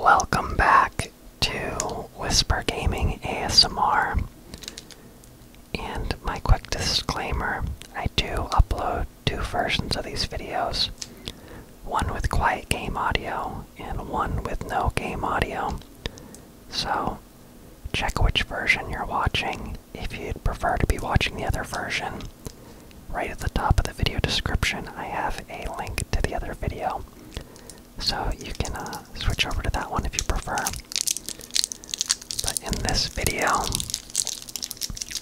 Welcome back to Whisper Gaming ASMR. And my quick disclaimer I do upload two versions of these videos one with quiet game audio and one with no game audio. So check which version you're watching if you'd prefer to be watching the other version. Right at the top of the video description, I have a link to the other video. So you can uh, switch over to that one if you prefer. But in this video,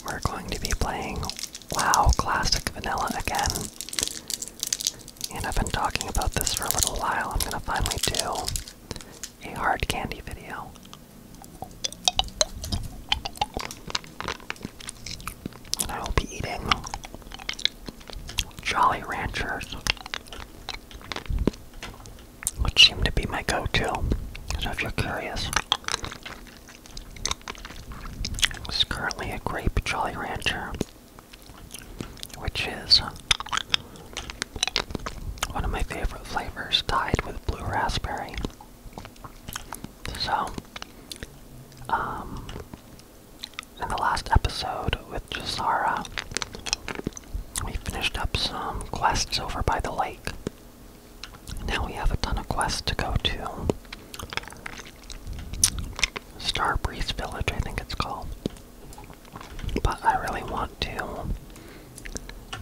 we're going to be playing WoW Classic Vanilla again. And I've been talking about this for a little while. I'm gonna finally do a hard candy video. I will be eating Jolly Ranchers, which seem to be my go to. So if you're curious, this currently a grape Jolly Rancher, which is one of my favorite flavors tied with blue raspberry. So, um, in the last episode with Jazara, we finished up some quests over by the lake. Now we have a ton of quests to go to. Starbreeze Village, I think it's called. But I really want to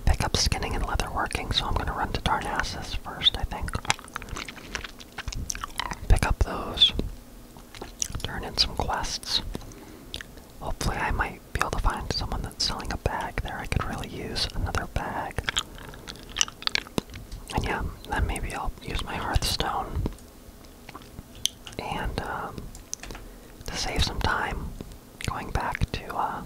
pick up skinning and leatherworking, so I'm gonna run to Darnassus first, I think. Pick up those. Turn in some quests. Hopefully, I might be able to find someone that's selling a bag there. I could really use another bag. And yeah, then maybe I'll use my Hearthstone. And um, to save some time, going back to uh,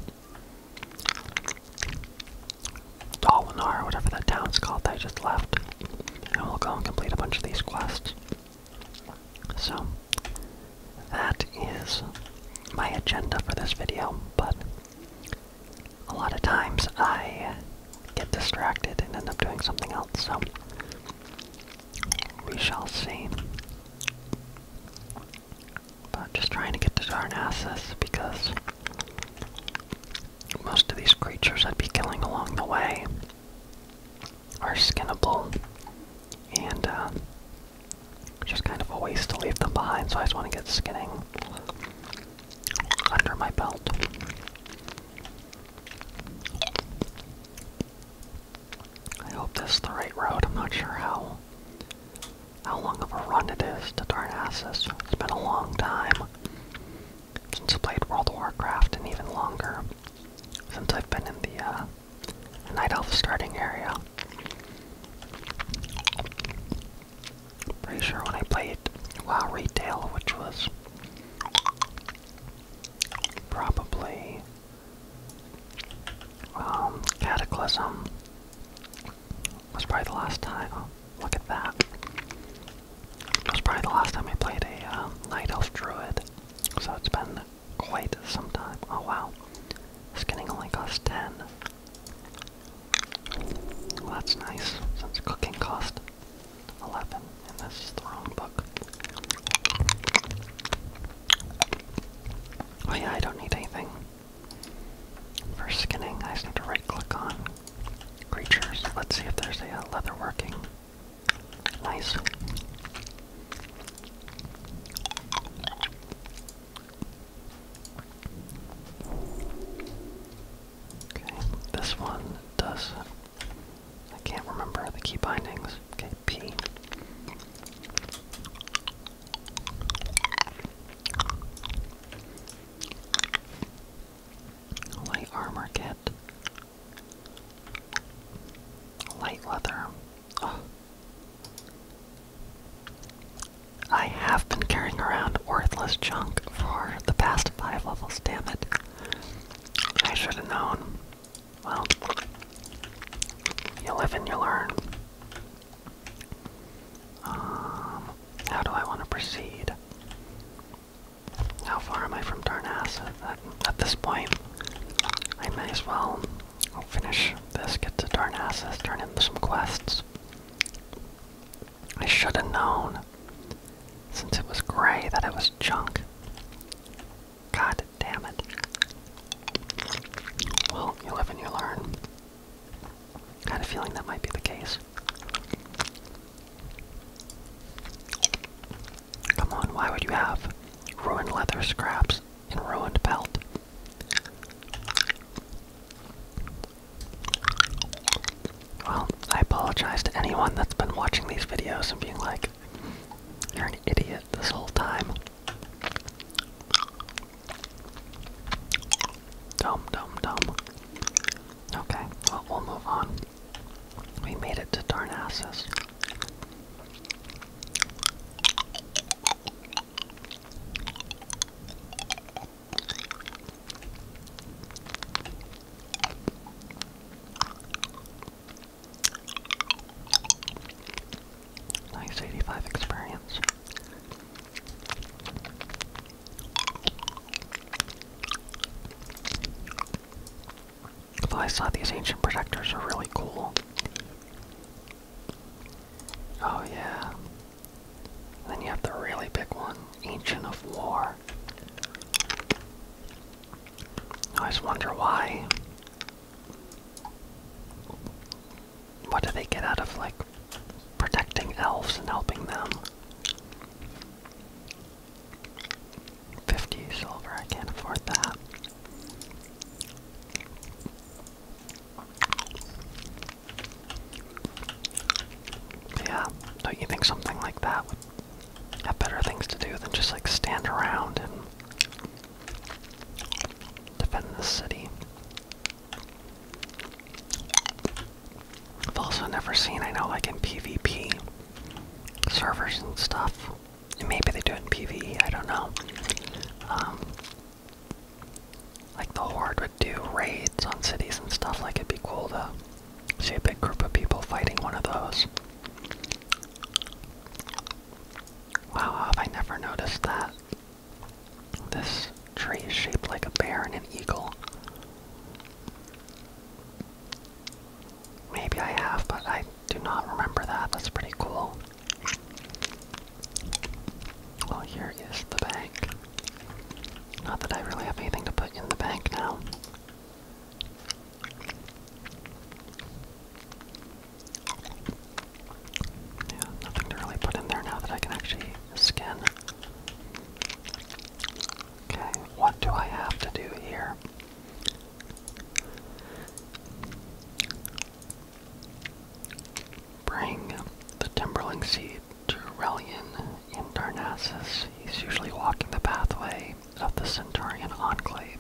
Dalinar, whatever that town's called that I just left. And we'll go and complete a bunch of these quests. So, that is my agenda for this video, but a lot of times I get distracted and end up doing something else, so we shall see. But just trying to get to Darnassus because most of these creatures I'd be killing along the way are skinnable, and uh, just kind of a waste to leave them behind, so I just want to get skinning under my belt. I hope this is the right road. I'm not sure how how long of a run it is to Darnassus. It's been a long time since I played World of Warcraft and even longer since I've been in uh, the Night Elf starting area. Pretty sure when I played WoW Retail, which was probably um, Cataclysm, was probably the last time. Look at that. It was probably the last time I played a uh, Night Elf Druid, so it's been quite some time. Oh wow, skinning only costs 10. that's nice, since cooking cost 11, and this is the wrong book. Oh yeah, I don't need anything. For skinning, I just have to right click on creatures. Let's see if there's a uh, leather working. Nice. Okay, this one does. I can't remember the key bindings. Okay, P light armor kit, light leather. Oh. I have been carrying around worthless junk for the past five levels, damn it. I should have known. Well, you live and you learn. Um, how do I want to proceed? How far am I from Darnassus? At, this point, I may as well finish this, get to Darnassus, turn in some quests. I should have known, since it was gray, that it was junk. God damn it. Well, you live and you learn. I had feeling that might be the case. Come on, why would you have ruined leather scraps and ruined belt? Well, I apologize to anyone that's been watching these videos and being like, you're an idiot this whole time. Dumb, dumb, dumb. Okay, well, we'll move on. We made it to Darnassus. Nice 85 experience. I thought these ancient protectors are really cool. Oh yeah. then you have the really big one, Ancient of War. I just wonder why. What do they get out of like protecting elves and helping them? 50 silver, I can't afford that. Yeah, don't you think something like that would have better things to do than just like stand around and defend the city? I've also never seen, I know, like in PvP servers and stuff. maybe they do in PvE, I don't know. Um, like the Horde would do raids on cities and stuff, like it'd be cool to see a big group of people fighting one of those. Wow, I never noticed that? This tree is shaped like a bear and an eagle. Maybe I have, but I do not remember that. That's pretty cool. Well, here is the bank. Not that I really have anything to put in the bank now. Yeah, nothing to really put in there now that I can actually skin. Okay, what do I have to do here? Bring the Timberling seed to Aurelian in Darnassus. He's usually walking the pathway of the Centurion Enclave.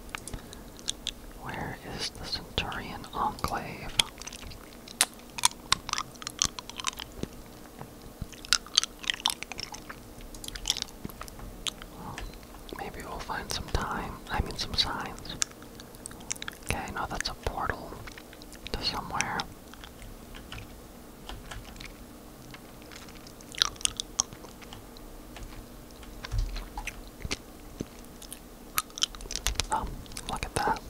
Where is the Centurion Enclave? maybe we'll find some time. I mean, some signs. Okay, no, that's a portal to somewhere. Oh, look at that.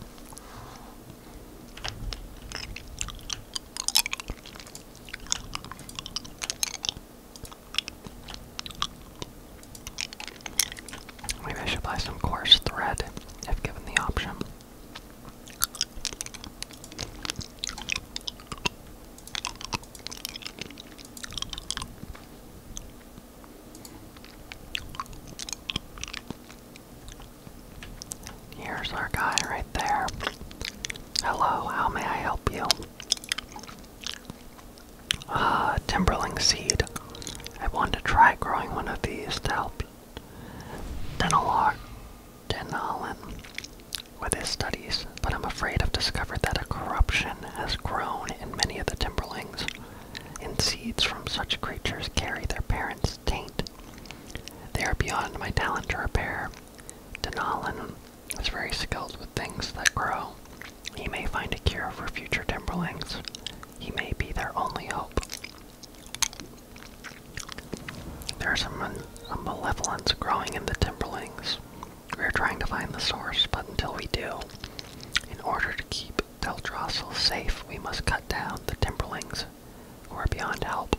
Maybe I should buy some coarse thread if given the option. Here's our guy right there. Hello, how may I help you? Ah, Timberling seed. I want to try growing one of these to help Denalog Denalin with his studies, but I'm afraid I've discovered that a corruption has grown in many of the Timberlings, and seeds from such creatures carry their parents' taint. They are beyond my talent to repair, Denalin is very skilled with things that grow. He may find a cure for future Timberlings. He may be their only hope. There's a, malevolence growing in the Timberlings. We're trying to find the source, but until we do, in order to keep Teldrassil safe, we must cut down the Timberlings who are beyond help.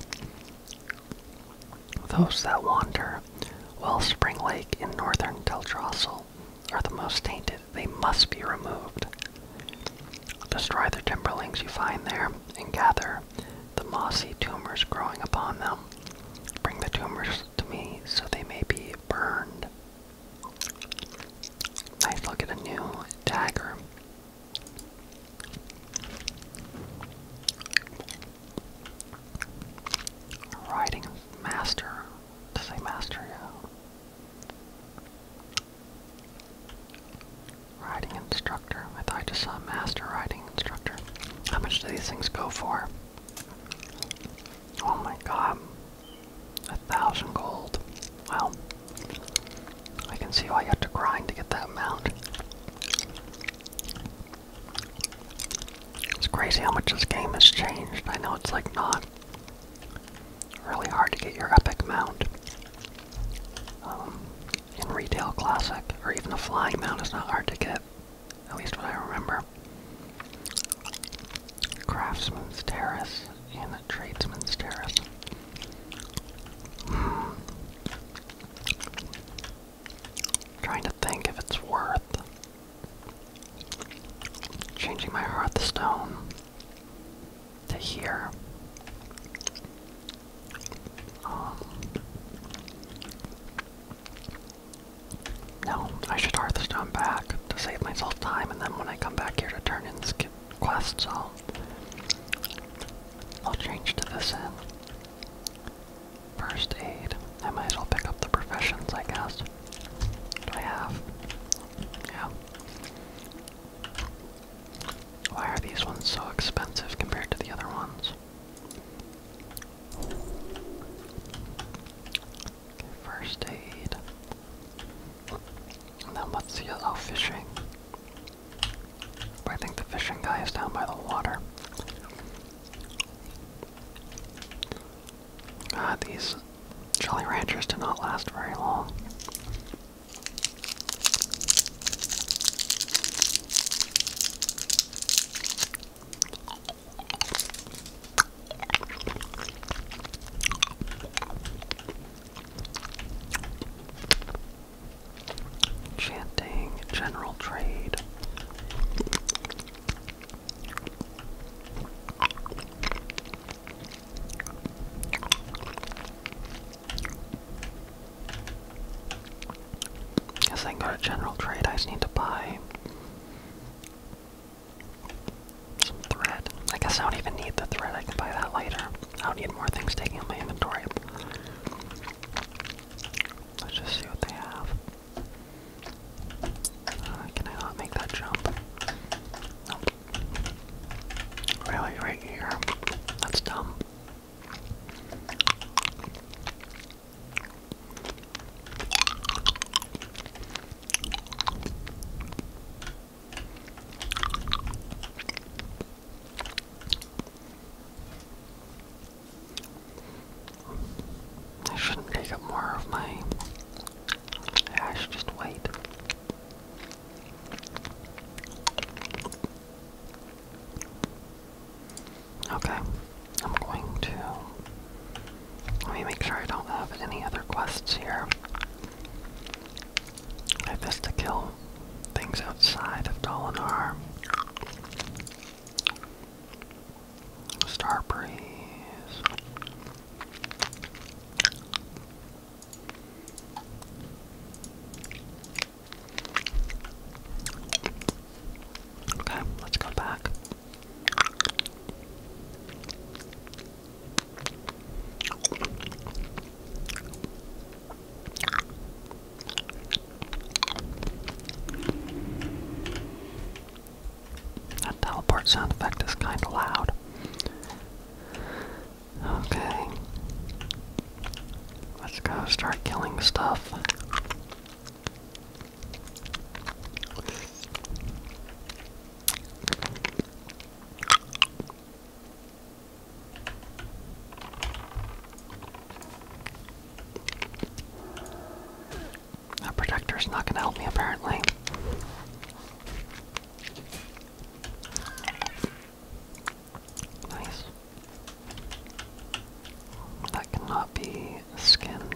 Those that wander, spring Lake in northern Teltrossel, are the most tainted. They must be removed. Destroy the timberlings you find there and gather the mossy tumors growing upon them. Bring the tumors to me so they may be burned. Nice look at a new dagger. Riding master. To say master, yeah. Riding instructor. I thought I master riding instructor. How much do these things go for? Oh my god. A thousand gold. Well, I can see why you have to grind to get that amount. It's crazy how much this game has changed. I know it's like not really hard to get your epic mount um, in retail classic, or even a flying mount is not hard to get. At least what I remember. Craftsman's Terrace and the Tradesman's Terrace. Hmm. I'm trying to think if it's worth changing my Hearthstone to here. Um, no, I should Hearthstone back to save myself time, and then when I come back here to turn in this I'll change to this end. First aid. I might as well pick up the professions, I guess. Do I have? Yeah. Why are these ones so expensive compared to the other ones? first aid. And then what's the other? Oh, fishing. I think the fishing guy is down by the water. Ah, these Jolly Ranchers do not last very long. Chanting, general trade. Guess I can go to general trade. I just need to buy some thread. I guess I don't even need the thread. I can buy that later. I do need more things taking up my inventory. Let's just see what they have. Uh, can I not make that jump? Nope. Really, right here. That's dumb. I shouldn't take up more of my. I should just wait. Okay, I'm going to. Let me make sure I don't have any other quests here. I have this to kill things outside of Dolinar. Star Breeze. Okay, let's go back. That teleport sound effect is kind of loud. Okay. Let's go start killing stuff. That protector is not gonna help me apparently. Nice. That cannot be skinned.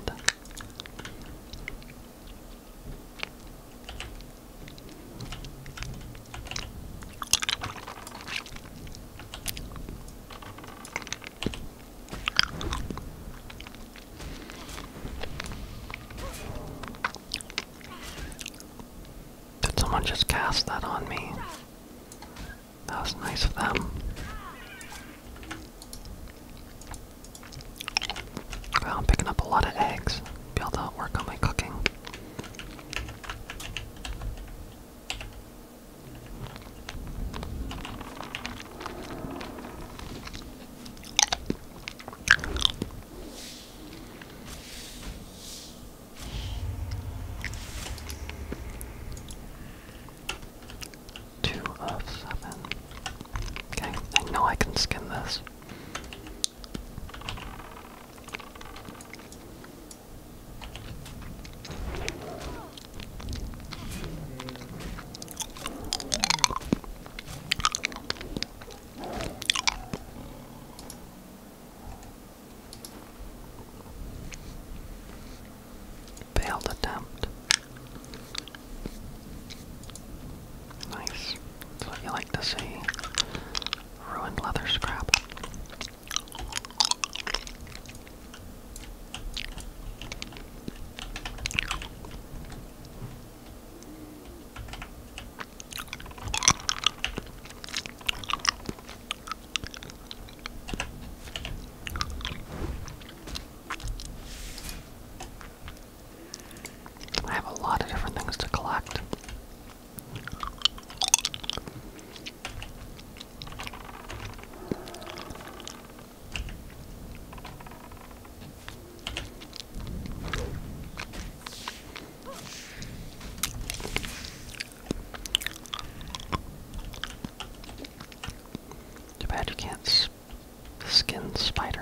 Did someone just cast that on me? That was nice of them. I'm picking up a lot of eggs. Be able to work on my cooking. Two of seven. Okay, I know I can skin this. Failed attempt. Nice. you like to see. Ruined leather scrap. I have a lot of different things to collect. Too bad you can't skin spiders.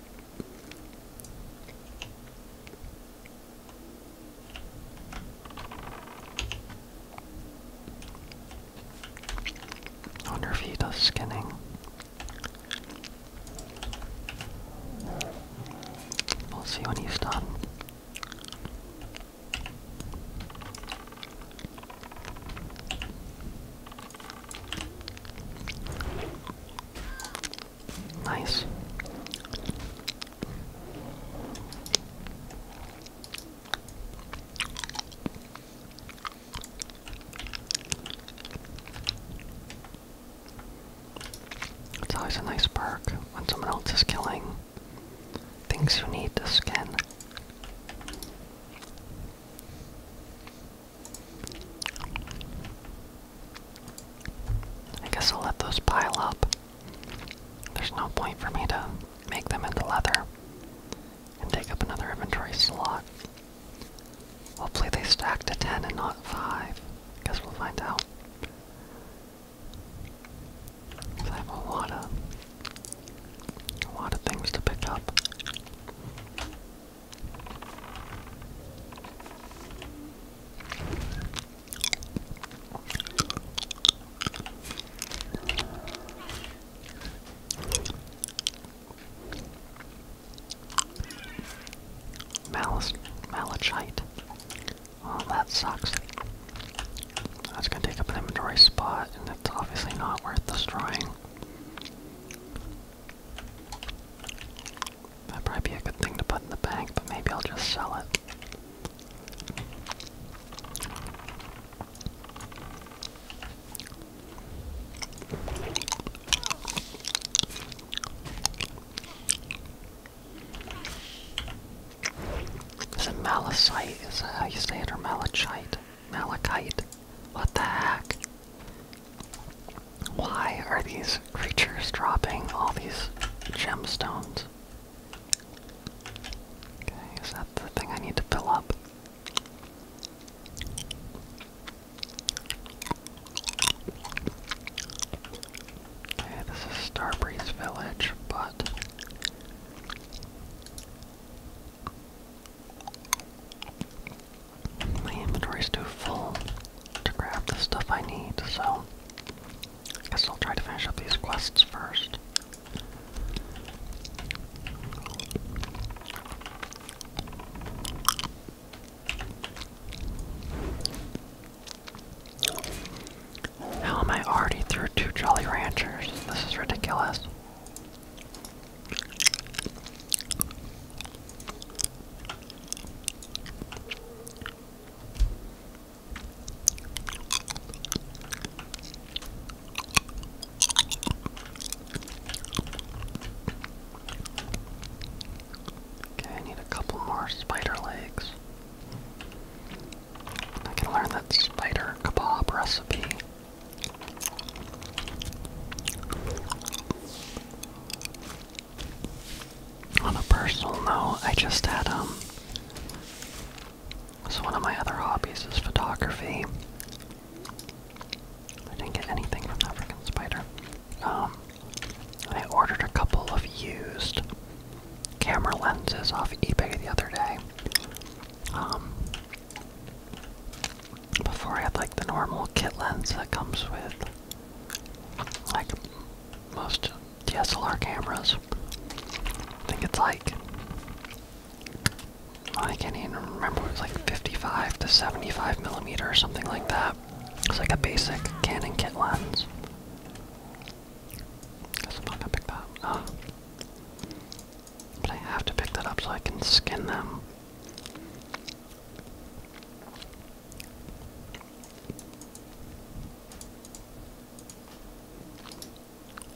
wonder if he does skinning. We'll see when he's done. Nice. It's always a nice perk when someone else is killing things you need to skin. I guess I'll let those pile up. There's no point for me to make them into leather and take up another inventory slot. Hopefully they stack to 10 and not 5. guess we'll find out. I have a lot of, a lot of things to pick up. Malice, malachite. Well, oh, that sucks. That's gonna take up an inventory spot, and it's obviously not worth destroying. That'd probably be a good thing to put in the bank, but maybe I'll just sell it. Is it malachite? Is that how you say it? Or malachite? Malachite? What the heck? Why are these creatures dropping all these gemstones? Okay, is that the thing I need to fill up? Okay, this is Starbreeze Village, but my inventory's too full to grab the stuff I need, so I guess I'll try to finish up these quests first. How am I already through two Jolly Ranchers? This is ridiculous. I need a couple more spider legs. I can learn that spider kebab recipe. On a personal note, I just had, um, so one of my other hobbies is photography. I didn't get anything from that freaking spider. Um, I ordered a couple of used camera lenses off eBay the other day. Um, before I had like the normal kit lens that comes with like most DSLR cameras. I think it's like I can't even remember. It was like 55 to 75 millimeter or something like that. It's like a basic Canon kit lens. I'm not gonna pick that ah. But I have to pick that up so I can skin them.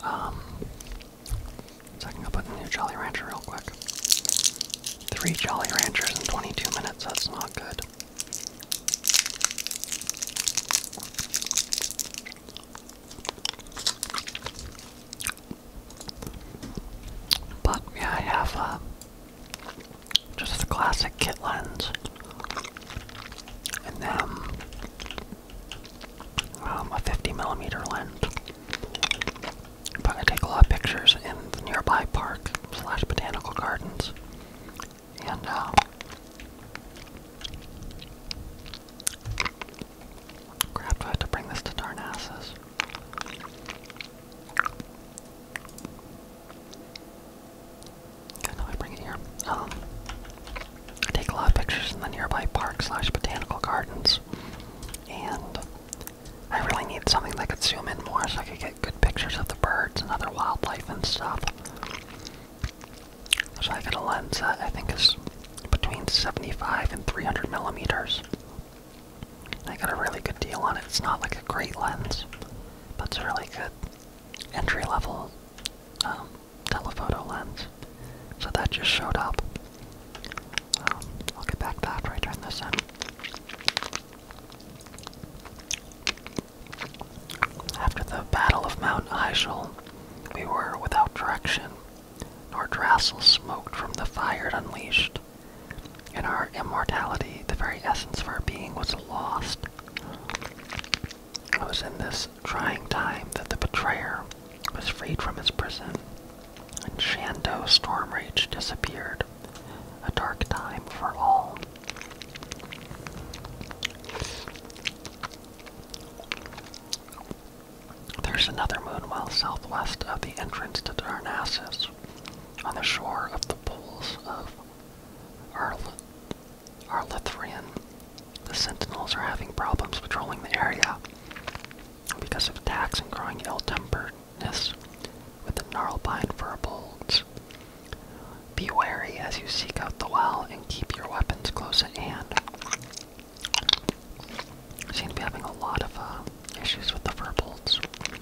Um, so I can go put in a new Jolly Rancher real quick. Three Jolly Ranchers in 22 minutes, that's not good. But yeah, I have uh, just the classic kit lens. And then um, a 50 millimeter lens. I'm gonna take a lot of pictures in the nearby park slash botanical gardens. And uh, crap, I have to bring this to Darnassus? Good, now I bring it here. Um, I take a lot of pictures in the nearby park slash botanical gardens, and I really need something that could zoom in more so I could get good pictures of the birds and other wildlife and stuff. So I got a lens that I think is between 75 and 300 millimeters. I got a really good deal on it. It's not like a great lens, but it's a really good entry level um, telephoto lens. So that just showed up. Um, I'll get back to after I turn this in. After the Battle of Mount Ishel, we were without direction. Nordrassil smoked from the fire it unleashed. In our immortality, the very essence of our being, was lost. It was in this trying time that the betrayer was freed from his prison, and Shando Storm Rage disappeared. A dark time for all. There's another moon well southwest of the entrance to Darnassus on the shore of the pools of Arl Arlithrian, the Sentinels are having problems patrolling the area because of attacks and growing ill-temperedness with the gnarlpine furbolgs. Be wary as you seek out the well and keep your weapons close at hand. Seem to be having a lot of uh, issues with the fur But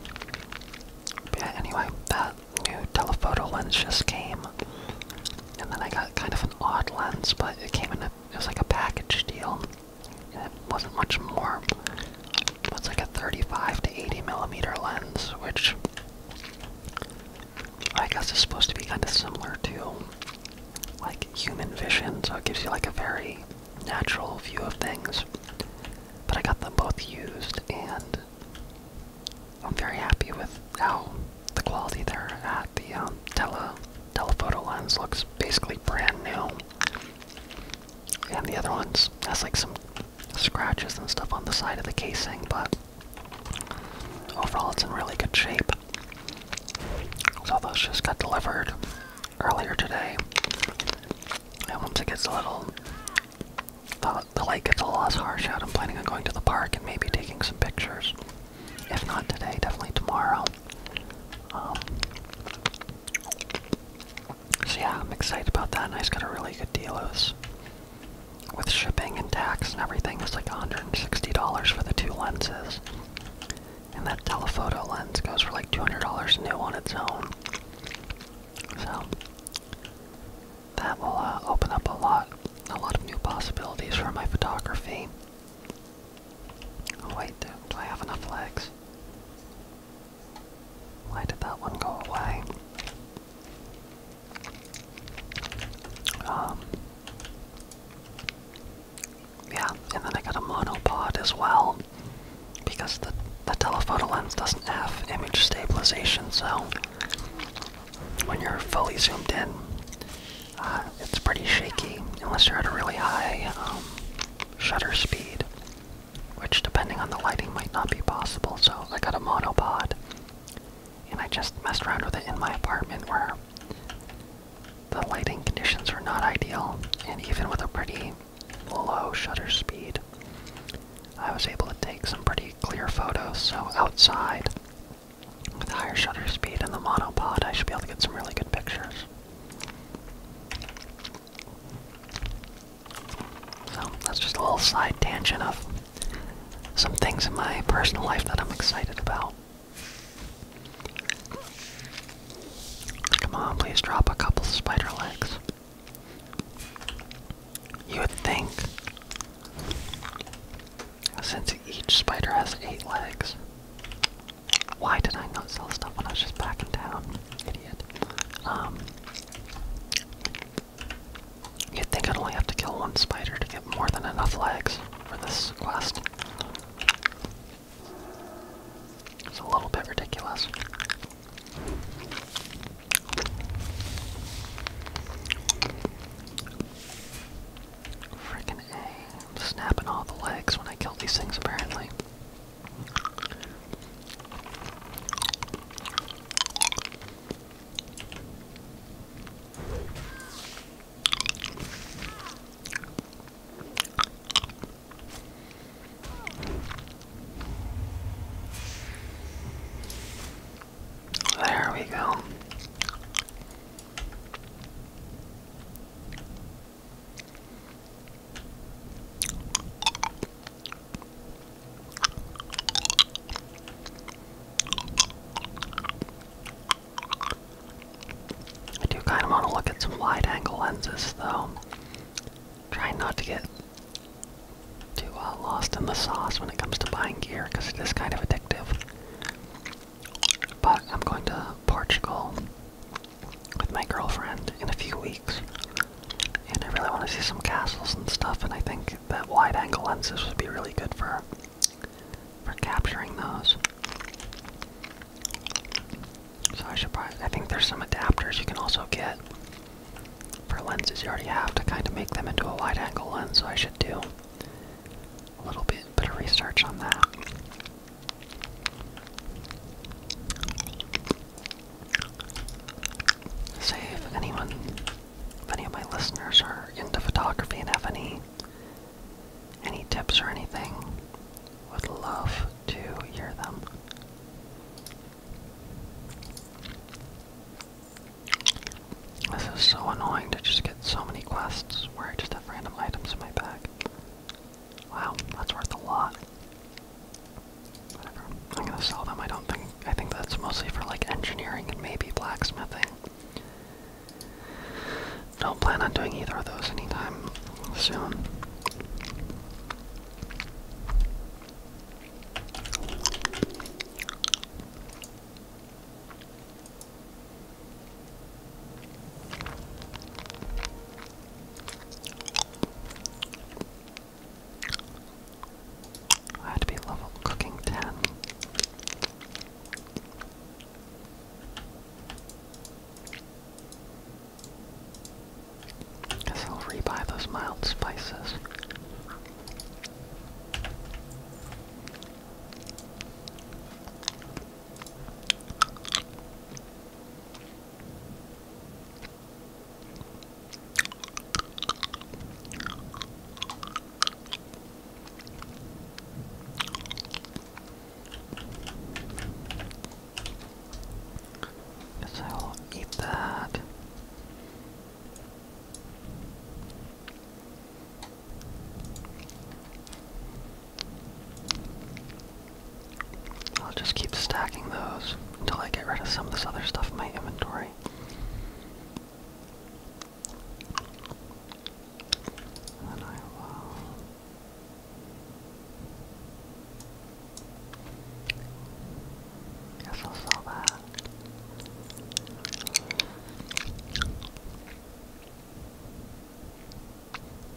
yeah, anyway, that new telephoto lens just came. And then I got kind of an odd lens, but it came in a, it was like a package deal. it wasn't much more. It's like a 35 to 80 millimeter lens, which I guess is supposed to be kind of similar to like human vision, so it gives you like a very natural view of things. But I got them both used, and I'm very happy with how the quality they're at. The um, tele telephoto lens looks basically brand new, and the other one's has like some scratches and stuff on the side of the casing, but overall it's in really good shape. So those just got delivered earlier today. And once it gets a little the, light gets a lot harsh out. I'm planning on going to the park and maybe taking some pictures. If not today, definitely tomorrow. Um, so yeah, I'm excited about that. And I just got a really good deal. with shipping and tax and everything, it's like $160 for the two lenses. And that telephoto lens goes for like $200 new on its own. So that will uh, open up a lot, a lot of new possibilities for my photography. Oh, wait, do, I have enough legs? Why did that one go away? Um, yeah, and then I got a monopod as well because the, the telephoto lens doesn't have image stabilization, so when you're fully zoomed in, uh, it's pretty shaky unless you're at a really high um, shutter speed, which depending on the lighting might not be possible. So I got a monopod, and I just messed around with it in my apartment where the lighting conditions were not ideal, and even with a pretty low shutter speed, I was able to take some pretty clear photos. So outside, with higher shutter speed in the monopod, I should be able to get some really good pictures. So that's just a little side tangent of some things in my personal life that I'm excited about. Come on, please drop a couple spider legs. You would think, since each spider has eight legs, why did I not sell stuff when I was just back in town? Idiot. Um, you'd think I'd only have to kill one spider to get more than enough legs for this quest. It's a little bit ridiculous. Freaking A. I'm snapping all the legs when I kill these things, apparently. There we go. I do kind of want to look at some wide angle lenses though. Trying not to get too uh, lost in the sauce when it comes to buying gear because it is kind of addictive. But I'm going to Portugal with my girlfriend in a few weeks, and I really want to see some castles and stuff. And I think that wide-angle lenses would be really good for for capturing those. So I should probably. I think there's some adapters you can also get for lenses, you already have to kind of make them into a wide angle lens, so I should do a little bit, bit of research on that. Say if anyone, if any of my listeners are into photography and have any, any tips or anything, would love to hear them. This is so annoying to just get so many quests where I just have random items in my bag. Wow, that's worth a lot. I'm gonna sell them. I don't think I think that's mostly for like engineering and maybe blacksmithing. Don't plan on doing either of those anytime soon. I had to be level cooking 10. Guess I'll rebuy those mild spices. Guess I will eat that. I'll just keep stacking those until I get rid of some of this other stuff in my inventory. And I will I feel so bad.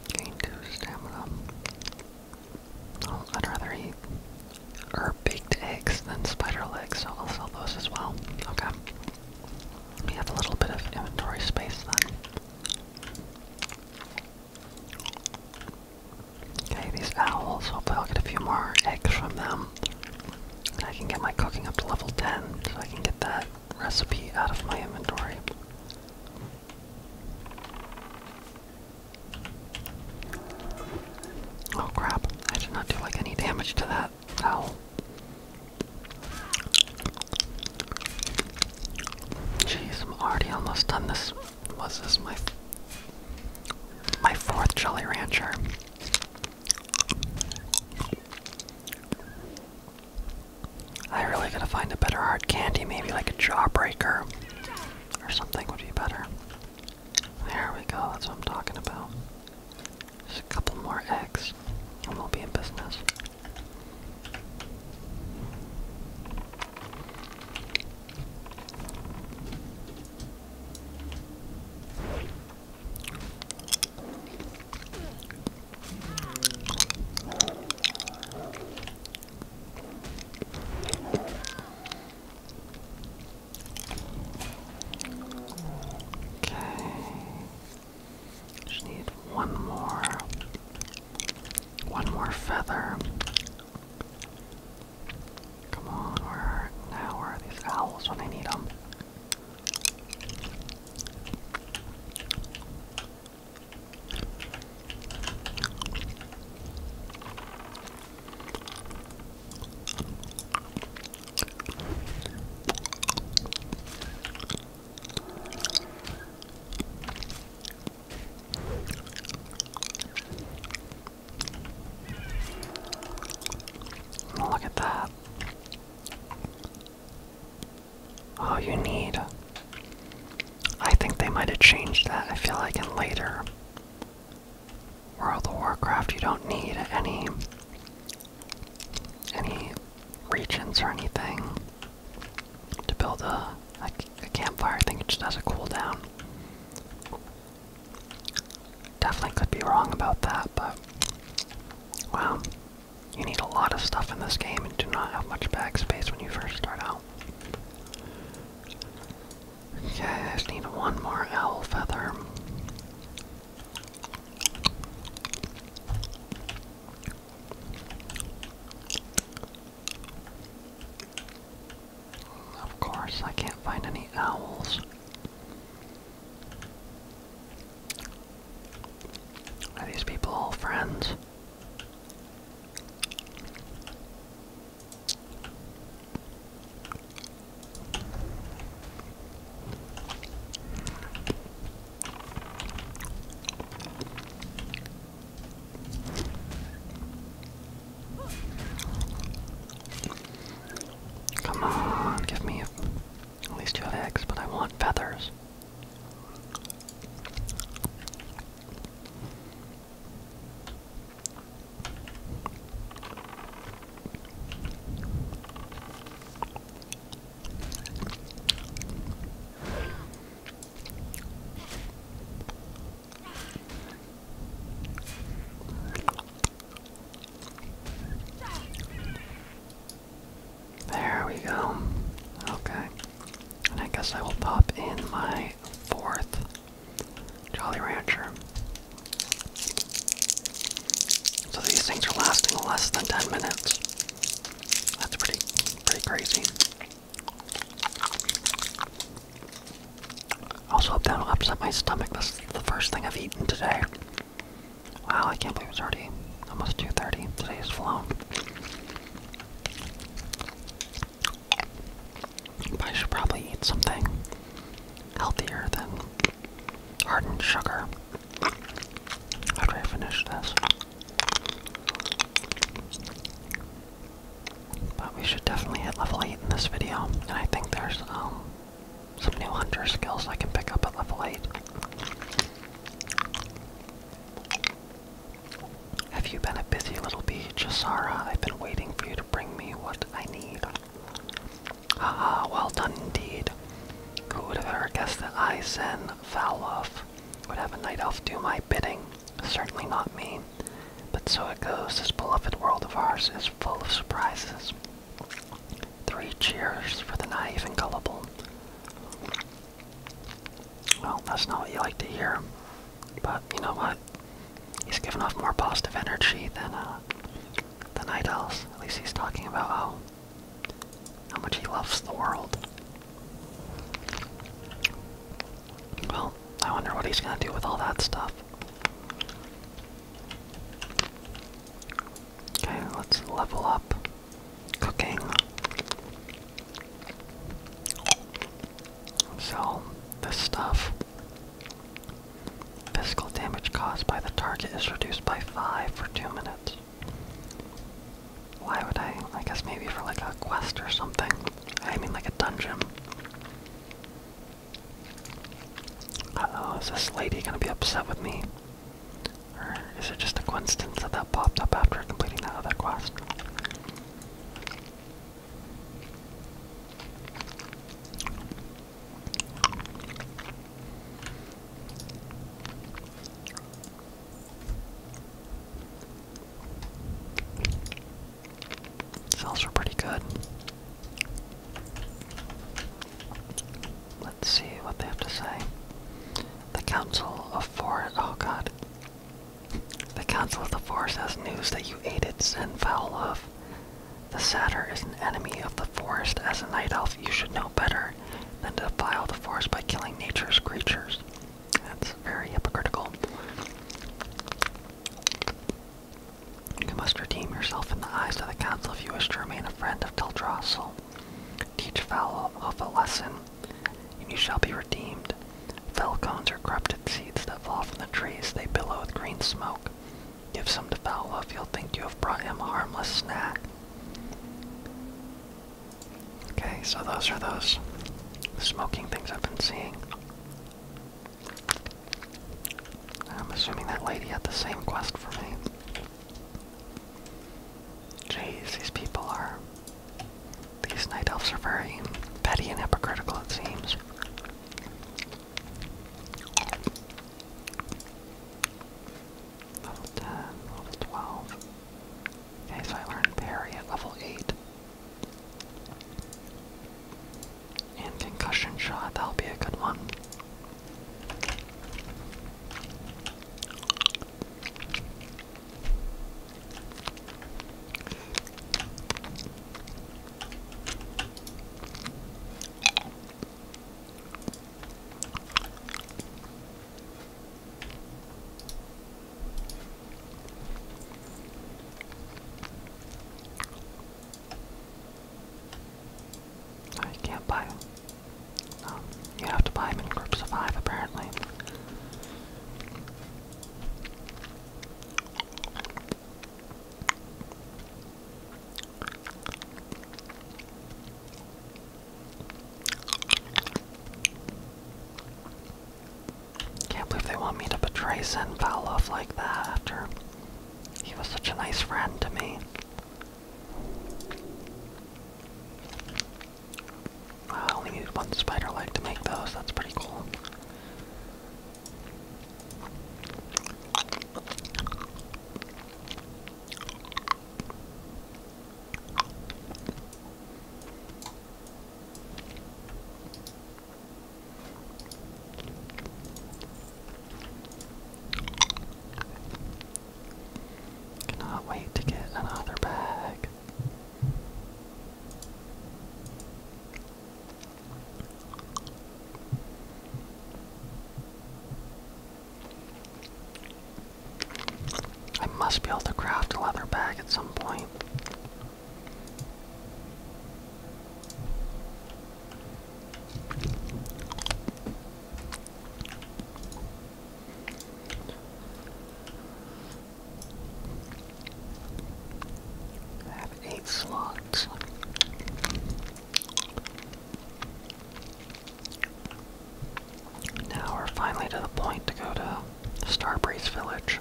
Gain two stamina. I'd rather eat or baked eggs than spider legs, so I'll sell those as well. Okay. We have a little bit of inventory space then. Okay, these owls. Hopefully I'll get a few more eggs from them. I can get my cooking up to level 10, so I can get that recipe out of my inventory. Oh crap, I did not do like any damage to that owl. Jeez, I'm already almost done this was this my my fourth Jolly Rancher? I really gotta find a better hard candy, maybe like a jawbreaker or something would be better. There we go, that's what I'm talking about. Just a couple more eggs and we'll be in business. Okay. Just need one more. One more feather. Come on, where now? Where are these owls when I need them? Look at that. Oh, you need. I think they might have changed that. I feel like in later World of Warcraft, you don't need any any regions or anything to build a, a, a campfire. I think it just has a cooldown. Definitely could be wrong about that, but wow. You need a lot of stuff in this game and do not have much backspace when you first start out. Okay, I just need one more owl feather. Of course, I can't find any owls. Are these people all friends? Come on, give me at least two eggs, but I want feathers. There we go. Okay. And I guess I will pop in my fourth Jolly Rancher. So these things are lasting less than 10 minutes. That's pretty pretty crazy. Also, hope that will upset my stomach. This is the first thing I've eaten today. Wow, I can't believe it's already almost 2.30. Today has flown. I should probably eat something healthier than hardened sugar after I finish this. But we should definitely hit level 8 in this video, and I think there's um, some new hunter skills I can pick up at level 8. Have you been a busy little bee, Asara? I've been waiting for you to bring me what I need. Haha, well done indeed. Who would have ever guessed that I, Zen Valov, would have a night elf do my bidding? Certainly not me. But so it goes, this beloved world of ours is full of surprises. Three cheers for the naive and gullible. Well, that's not what you like to hear. But you know what? He's giving off more positive energy than uh, the night owls. At least he's talking about how oh, how much he loves the world. Well, I wonder what he's gonna do with all that stuff. Okay, let's level up cooking. So this stuff. Physical damage caused by the target is reduced by 5 for 2 minutes. Why would I? I guess maybe for like a quest or something. I mean, like a dungeon oh, is this lady gonna be upset with me? Or is it just a coincidence that that popped up after completing that other quest? Cells were pretty good. Let's see what they have to say. The Council of Four. Oh god. The Council of the Forest has news that you ate Zen foul of. The Satyr is an enemy of the forest. As a night elf, you should know better than to defile the forest by killing nature's creatures. That's very hypocritical. You must redeem yourself in the eyes of the council if you wish to remain a friend of Teldrassil. Teach Falhof a lesson, and you shall be redeemed. Falcon's are corrupted seeds that fall from the trees. They billow with green smoke. Give some to Falhof. He'll think you have brought him a harmless snack. Okay, so those are those smoking things I've been seeing. I'm assuming that lady had the same quest for me. Jeez, these people are. These night elves are very petty and hypocritical, it seems. Level 10, level 12. Okay, so I learned parry at level 8. And concussion shot, that'll be a good one. So you can't buy them. No, you have to buy them in groups of five, apparently. Can't believe they want me to betray Zen Valov like that after he was such a nice friend to me. Uh, I only needed one spider leg to make those, that's pretty cool. Cannot wait to get another bag. I must be able to craft a leather bag at some point have eight slots. Now we're finally to the point to go to Starbreeze Village.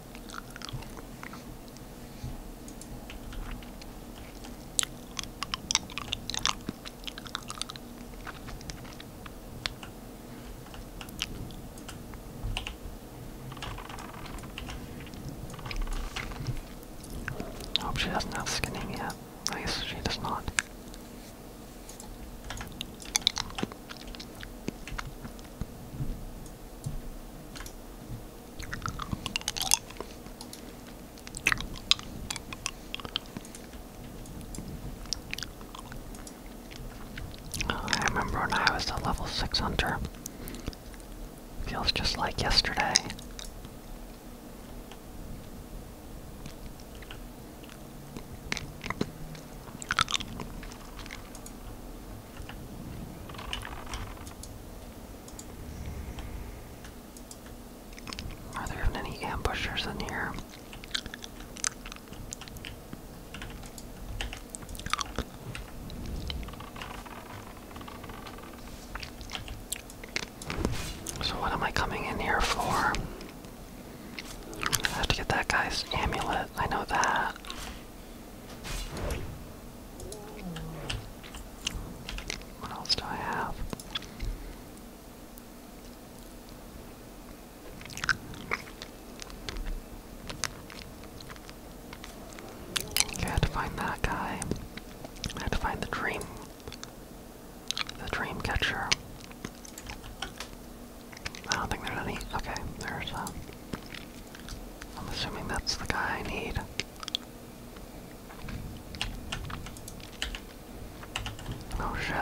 I hope she doesn't have skinning yet. I guess she does not. I remember when I was a level 6 hunter. Feels just like yesterday. Are there any ambushers in here? So, what am I coming in here for? I have to get that guy's amulet. I know that. What else do I have? I had to find that guy. I had to find the dream. The dream catcher. I don't think there's any. Okay, there's a uh, I'm assuming that's the guy I need. Oh shit.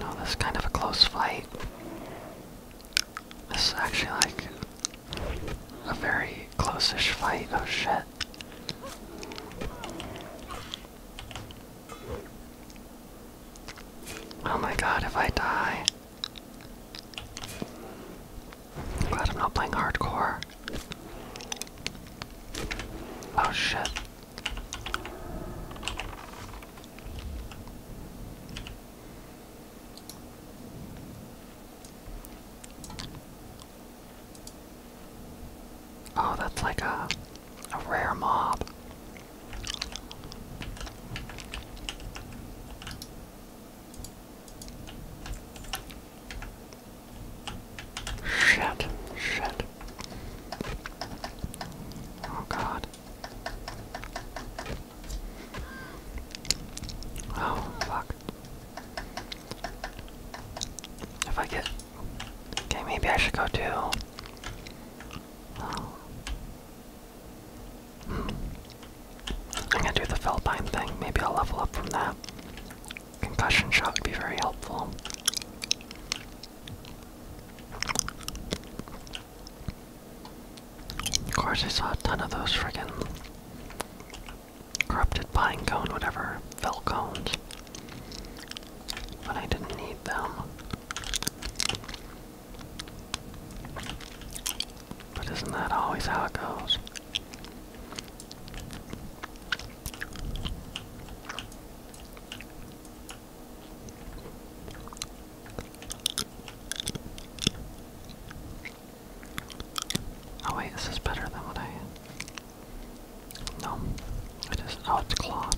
no, this is kind of a close fight. This is actually like a very closish fight. Oh shit. Oh my god, if I die. glad I'm not playing hardcore. Oh shit. Oh, that's like a, a rare mob. Shit, shit. Oh god. Oh, fuck. If I get. Okay, maybe I should go too. Oh. Hmm. I'm gonna do the Felpine thing. Maybe I'll level up from that. Concussion shot would be very helpful. Of course, I saw a ton of those friggin' Corrupted pine cone, whatever. Fell cones. But I didn't need them. But isn't that always how it goes? Oh wait, this is better than what I had. No, it is. Oh, it's cloth.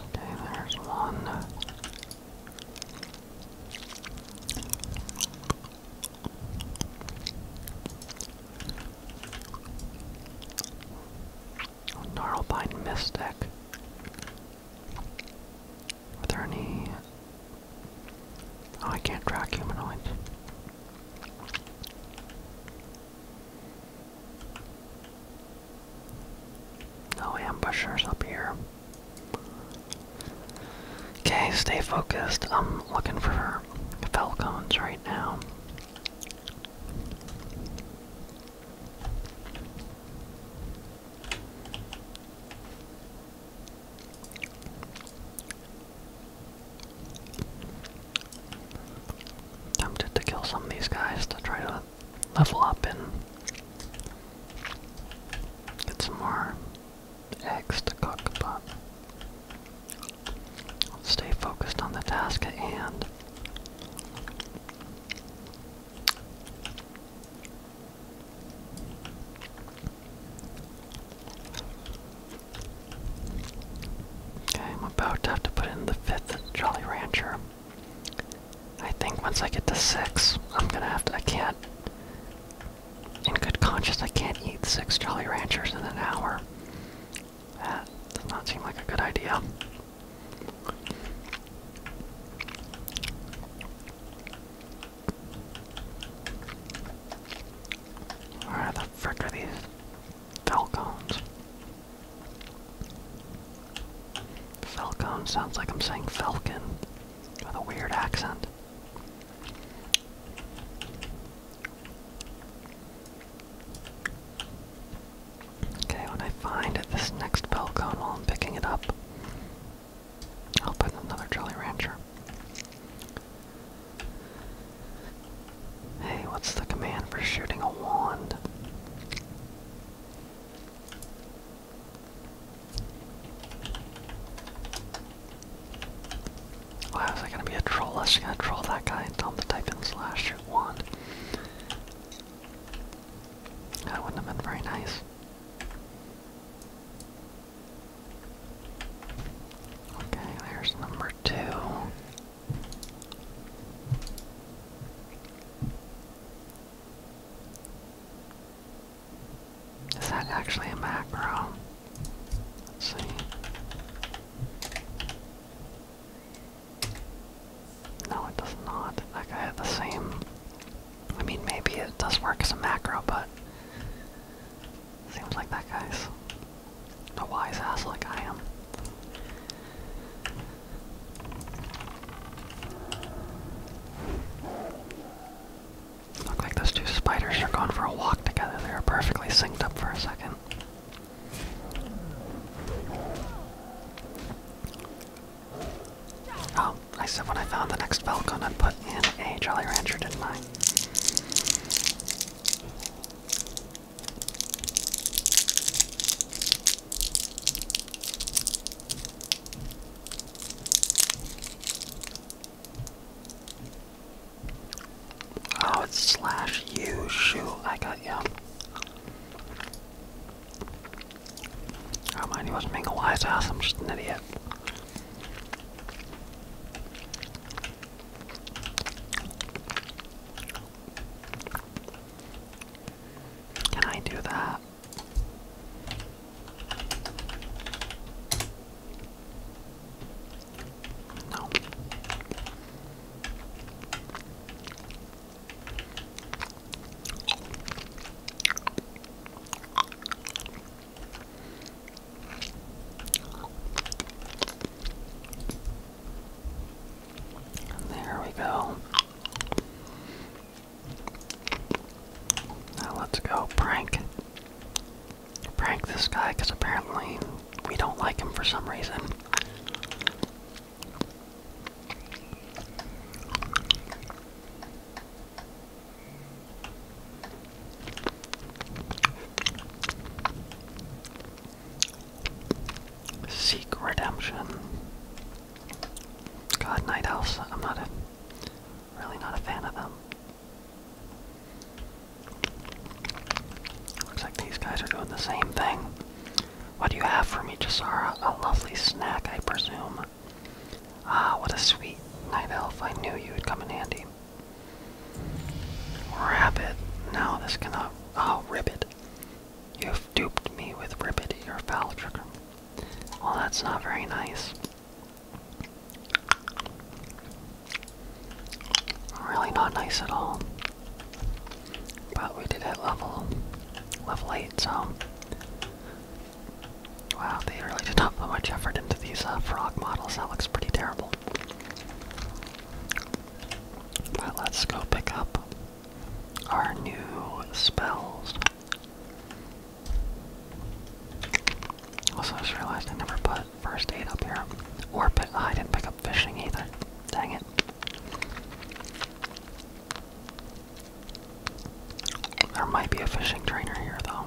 Okay, there's one. Gnarlbine Mystic. Are there any... Oh, I can't track humanoid. No ambushers up here. Okay, stay focused. I'm looking for falcons right now. Tempted to kill some of these guys to try to level up and get some more eggs cook, but stay focused on the task at hand. Okay, I'm about to have to put in the fifth Jolly Rancher. I think once I get to six, I'm gonna have to. I can't in good conscience, I can't eat six Jolly Ranchers in an hour. That does not seem like a good idea. Where the frick are these Falcons? Falcon sounds like I'm saying falcon with a weird accent. Okay, when I find this next bell cone while I'm picking it up, I'll put another Jolly Rancher. Hey, what's the command for shooting a wand? Why was I gonna be a troll? I was just gonna troll that guy and tell him to type in slash one. That wouldn't have been very nice. Okay, there's number two. Is that actually a macro? Let's see. No, it does not. Like I had the same. I mean, maybe it does work as a macro, but seems like that guy's a wise ass like I am. Look like those two spiders are going for a walk together. They are perfectly synced up for a second. Oh, I said when I found the next Falcon, I put in a Jolly Rancher, didn't I? Oh, it's slash you. Shoot, I got you. Oh, mind he wasn't being a wise I'm just an idiot. Can I do that? There we go. Now let's go prank prank this guy because apparently we don't like him for some reason. Seek redemption. God, Night I'm not a really not a fan of them. Looks like these guys are doing the same thing. What do you have for me, Jasara? A lovely snack, I presume. Ah, what a sweet night elf. I knew you would come in handy. it. Now this cannot. Oh, Ribbit. You've duped me with Ribbit, your foul trick. Well, that's not very nice. Really not nice at all. But we did hit level level 8, so Wow, they really did not put much effort into these uh, frog models. That looks pretty terrible. But let's go pick up our new spells. Also, just realized I never put first aid up here. Or oh, I didn't pick up fishing either. Dang it. There might be a fishing trainer here though.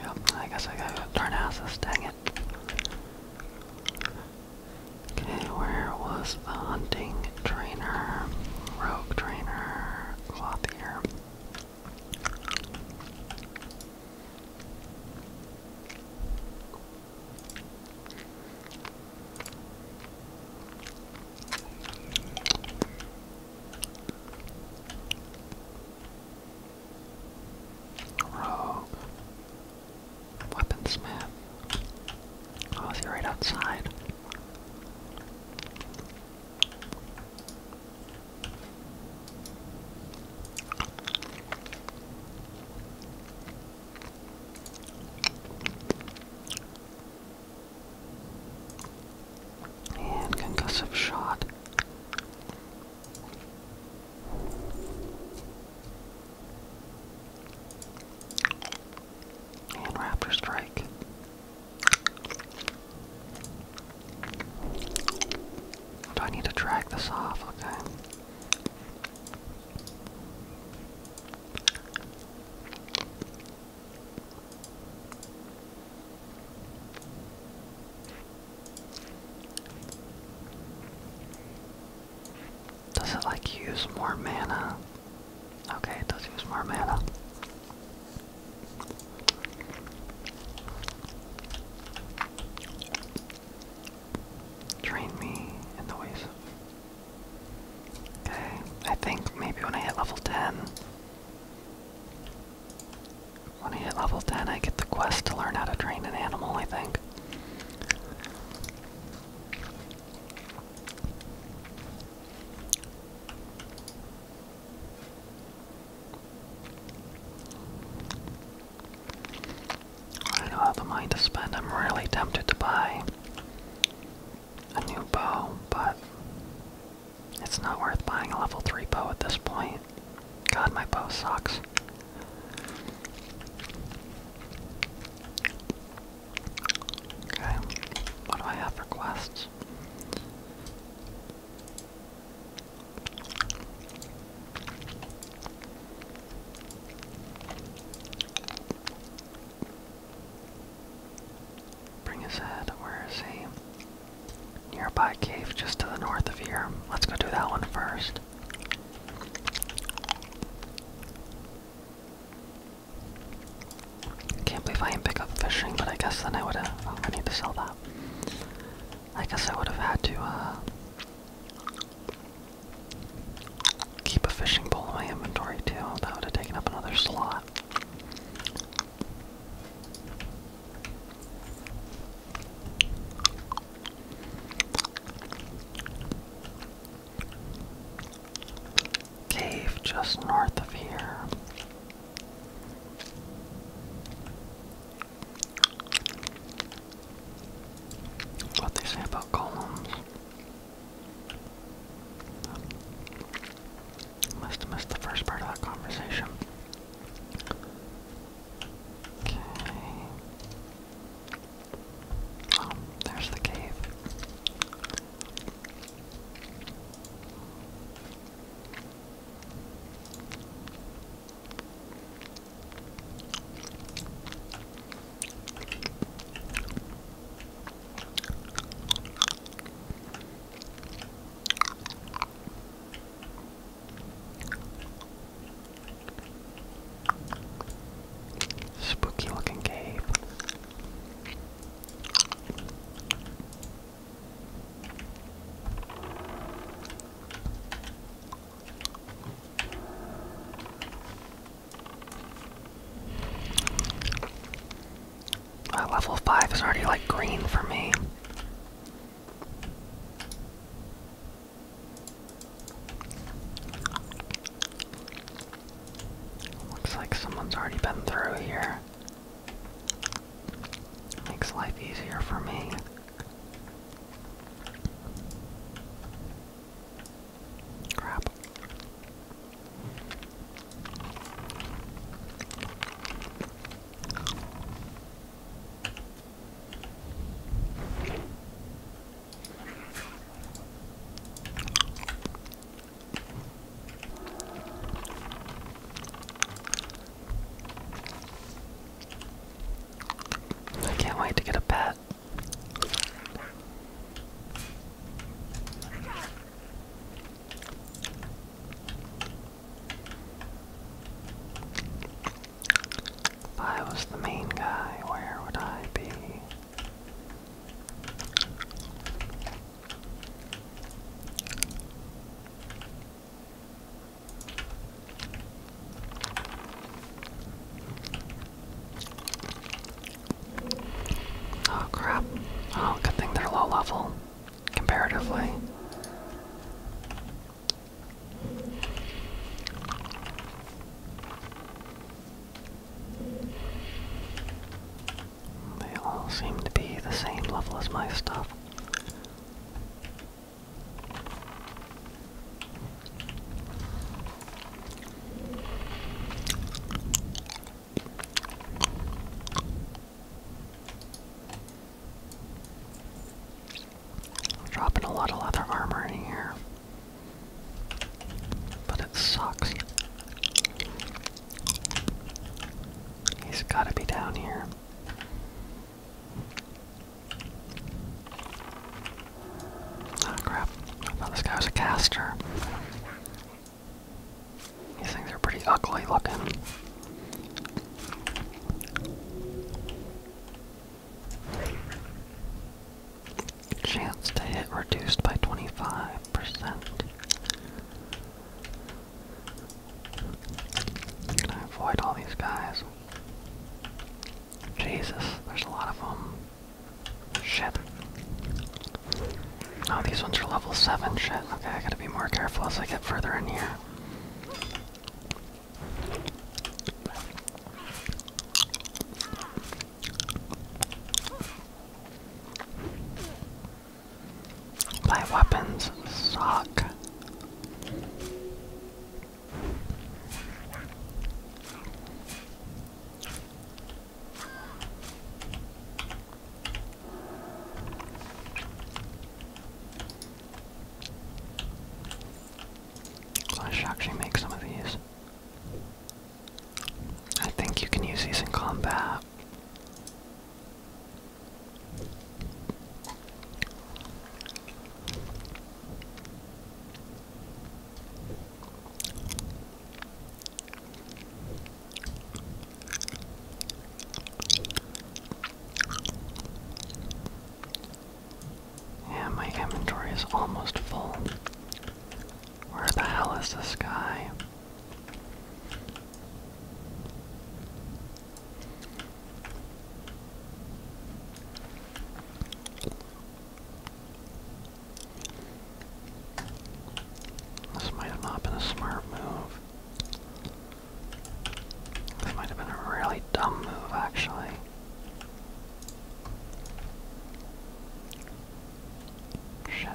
Yep, I guess I gotta go dang it. Okay, where was the hunting trainer? Rogue trainer, clothier, Rogue. Weaponsmith. Oh, is right outside? And concussive shot. And Raptor Strike. Do I need to drag this off? Okay. Does it like use more mana? Okay, it does use more mana. Train me in the ways. Okay, I think maybe when I hit level 10. When I hit level 10, I get the quest to learn how to train an animal, I think. I don't have the money to spend. I'm really tempted to buy a new bow, but it's not worth buying a level 3 bow at this point. God, my bow sucks. Okay, what do I have for quests? Bring his head, where is he? Nearby cave just to the north of here. Let's go do that one first. Can't believe I didn't pick up fishing, but I guess then I would have. Oh, I need to sell that. I guess I would have had to uh, keep a fishing pole in my inventory too. That would have taken up another slot cave just north of here. What they about golems. Must have missed the first part of that conversation. Okay. Oh, there's the cave. Spooky looking cave. Uh, level 5 is already like green for me. Looks like someone's already been through here. Makes life easier for me. Crap. I can't wait to get a pet. I was the main guy, where would I be? Oh crap. Oh, good thing they're low level comparatively. They all seem to be the same level as my stuff. Dropping a lot of leather armor in here. But it sucks. He's got to be down here. Oh crap. I thought this guy was a caster. These things are pretty ugly looking. Chance to hit reduced by 25%. avoid all these guys? Jesus, there's a lot of them. Shit. Oh, these ones are level 7 shit. Okay, I gotta be more careful as I get further in here. My weapons suck. I should actually make some of these. I think you can use these in combat. Yeah, my inventory is almost full. Where the hell is the sky? This might have been a smart move. This might have been a really dumb move, actually. Shit.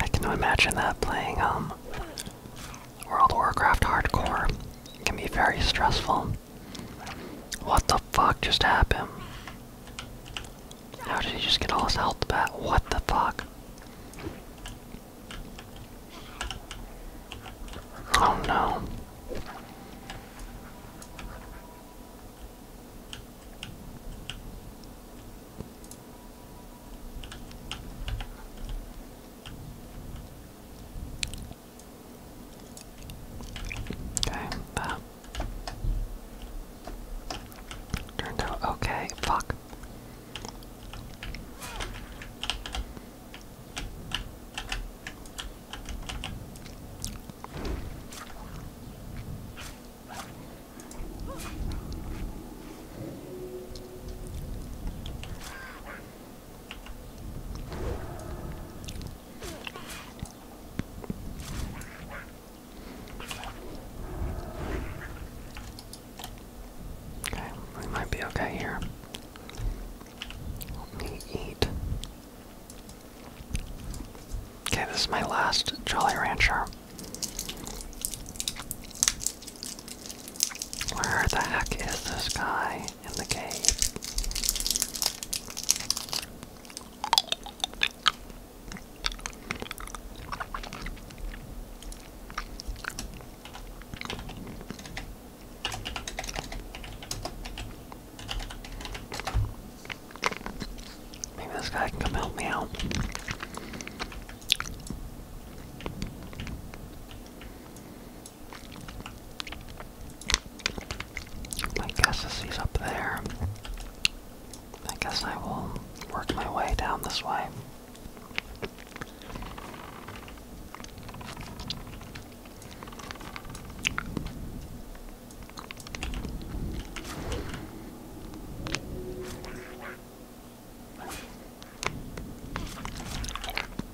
I can imagine that playing um, World of Warcraft hardcore can be very stressful. What the fuck just happened? How did he just get all his health back? What the fuck? Oh no. Okay, that turned out okay. Fuck. Okay, we might be okay here. Let me eat. Okay, this is my last Jolly Rancher. Where the heck is this guy? in the cave. Maybe this guy can come help me out. I guess is he's up there. I guess I will work my way down this way.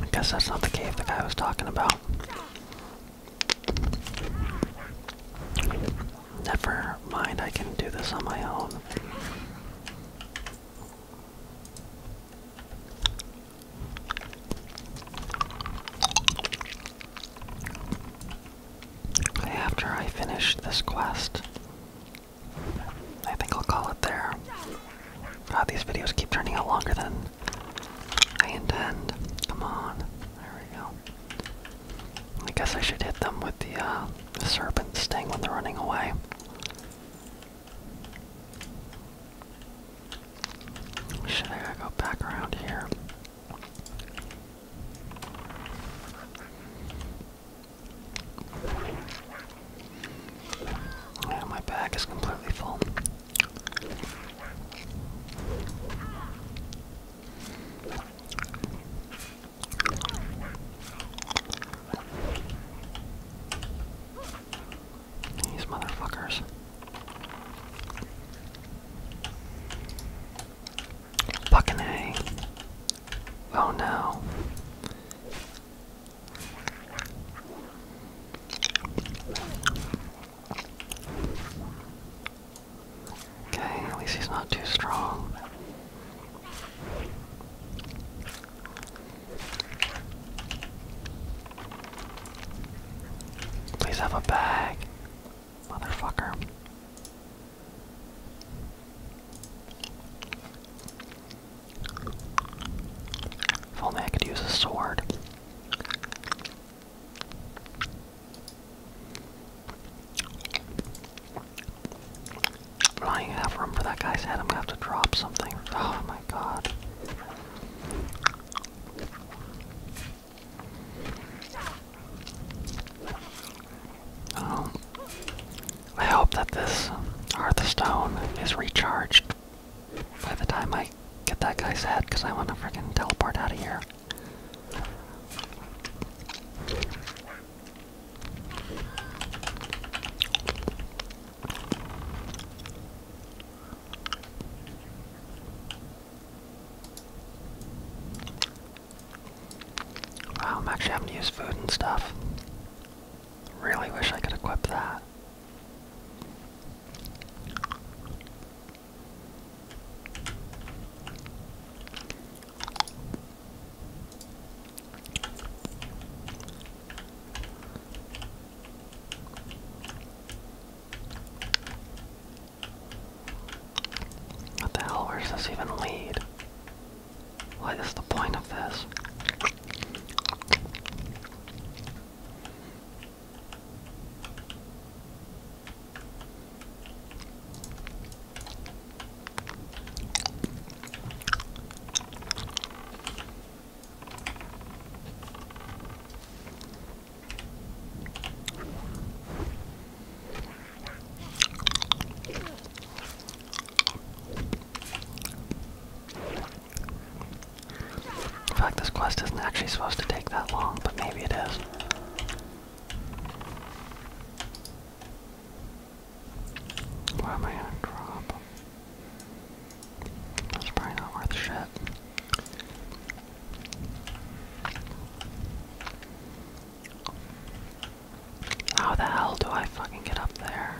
I guess that's not the cave the guy was talking about. Never mind, I can do this on my own. After I finish this quest, I think I'll call it there. Ah, these videos keep turning out longer than I intend. Come on. There we go. I guess I should hit them with the uh, serpent sting when they're running away. Should I go back around here? my bag is completely full. These motherfuckers. Fucking A. Oh no. Okay, at least he's not too strong. Please have a bag. Motherfucker. If only I could use a sword. I'm not even have room for that guy's head. I'm gonna have to drop something. Oh my god. Um, I hope that this Hearthstone is recharged by the time I get that guy's head, because I want to fricking teleport out of here. Wow, I'm actually having to use food and stuff. Really wish I could equip that. What the hell? Where does this even lead? What is the point of this? In fact, this quest isn't actually supposed to take that long, but maybe it is. What am I gonna drop? That's probably not worth shit. How the hell do I fucking get up there?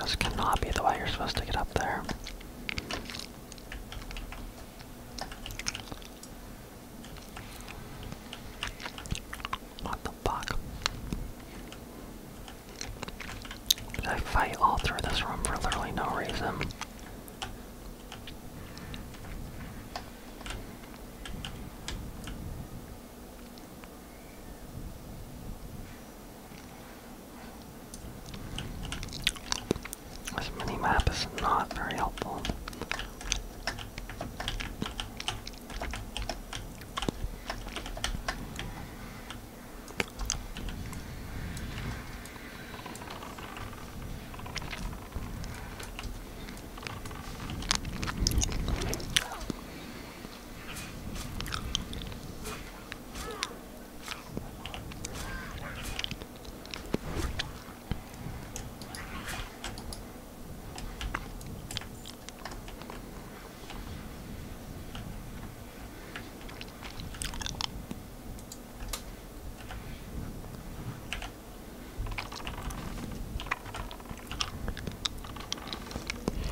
This cannot be the way you're supposed to get up there. What the fuck? Did I fight all through this room for literally no reason? This mini map is not very helpful.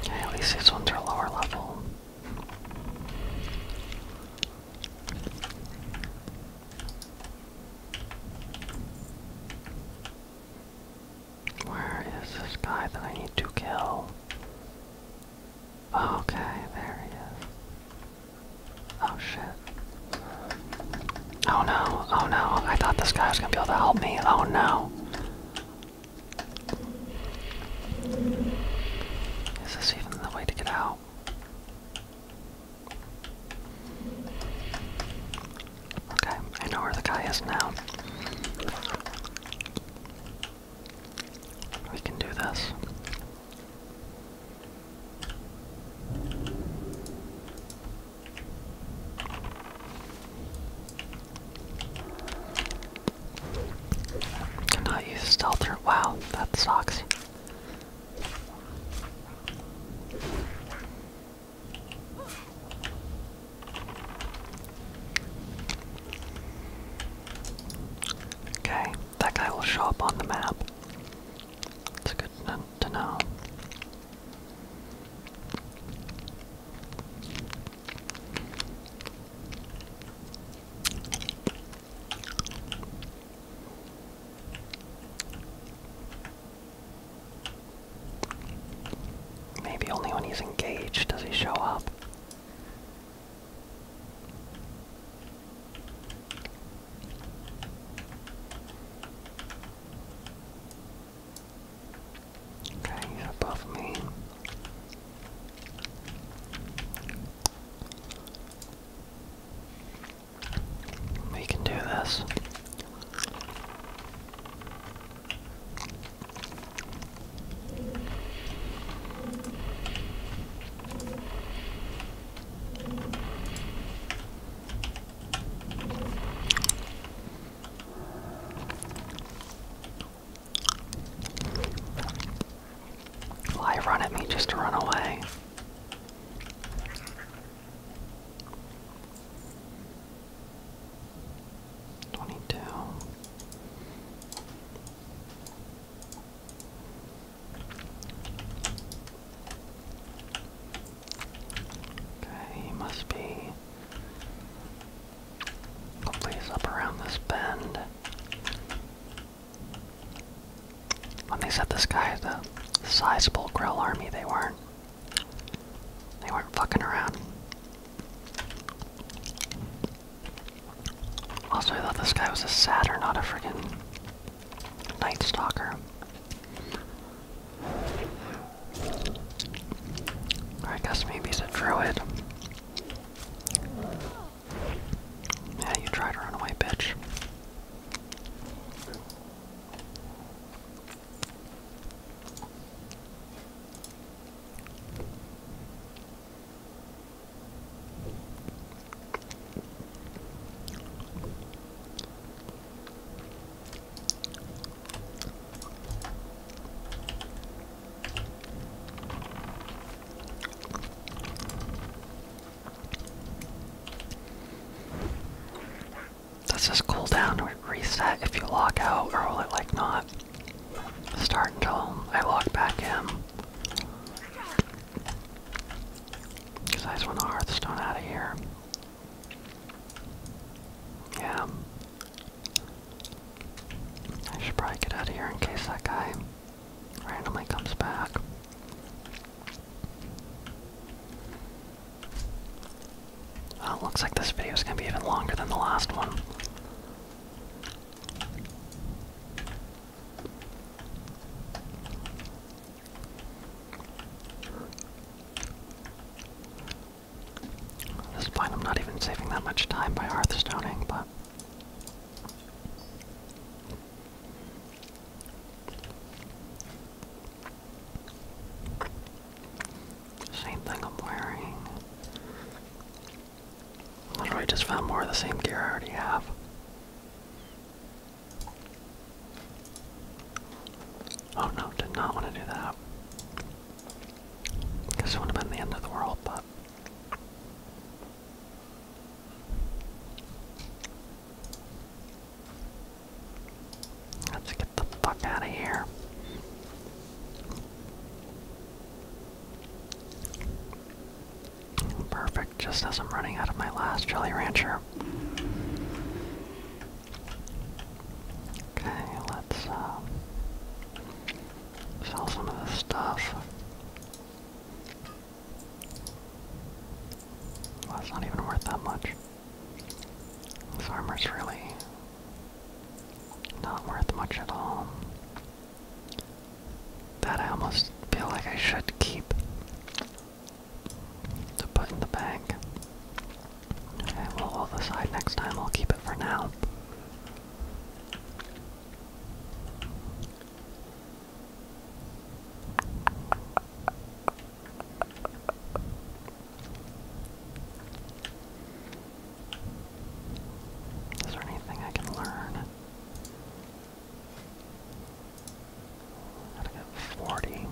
At least these ones are lower level. Where is this guy that I need to kill? Oh, okay, there he is. Oh shit. Oh no, oh no, I thought this guy was gonna be able to help me. Oh no. Is this even the way to get out? Okay, I know where the guy is now. We can do this. Cannot use stealth. Wow, that sucks. Okay, that guy will show up on the map. It's good to know. Maybe only when he's engaged does he show up. Okay, above me. We can do this. Why run at me just to run away? Twenty-two. Okay, he must be. Hopefully, he's up around this bend. When they said this guy is a sizable grill army, they weren't. They weren't fucking around. Also, I thought this guy was a satyr, not a friggin' night stalker. I guess maybe he's a druid. Yeah, you try to run away, bitch. Does this cooldown reset if you log out, or will it like not start until I log back in? Because I just want Hearthstone out of here. Yeah. I should probably get out of here in case that guy randomly comes back. Oh, looks like this video is going to be even longer than the last one. this point, I'm not even saving that much time by hearthstoning, but same thing I'm wearing. Literally just found more of the same gear I already have. Oh no, did not want to do that. Guess it would have been the end of the world, but Let's get the fuck out of here. Perfect, just as I'm running out of my last jelly Rancher. Okay, let's uh, sell some of this stuff. That's not even worth that much. This armor's really not worth much at all. That I almost feel like I should keep to put in the bag. Okay, we'll hold this next time. I'll keep it for now. Is there anything I can learn? I to get forty.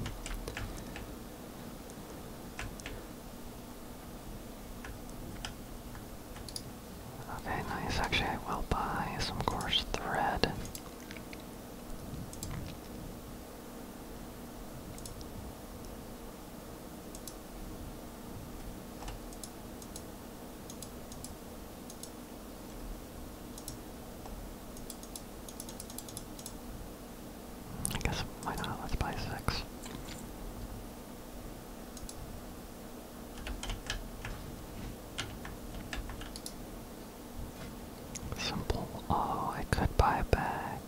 Okay, nice. Actually, I will buy some coarse thread. I guess why not? Let's buy six. Simple. Oh, I could buy a bag.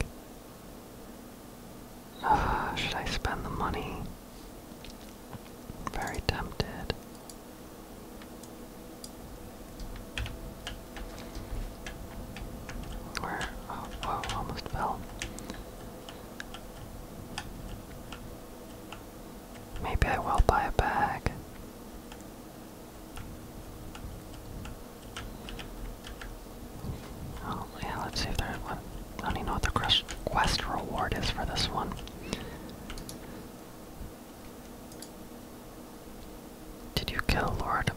Ah, should I spend the money? Very tempted. Where? Oh, almost fell. Maybe I will buy a bag. Oh, yeah, let's see if there's one. I don't even know what the quest, reward is for this one. Did you kill Lord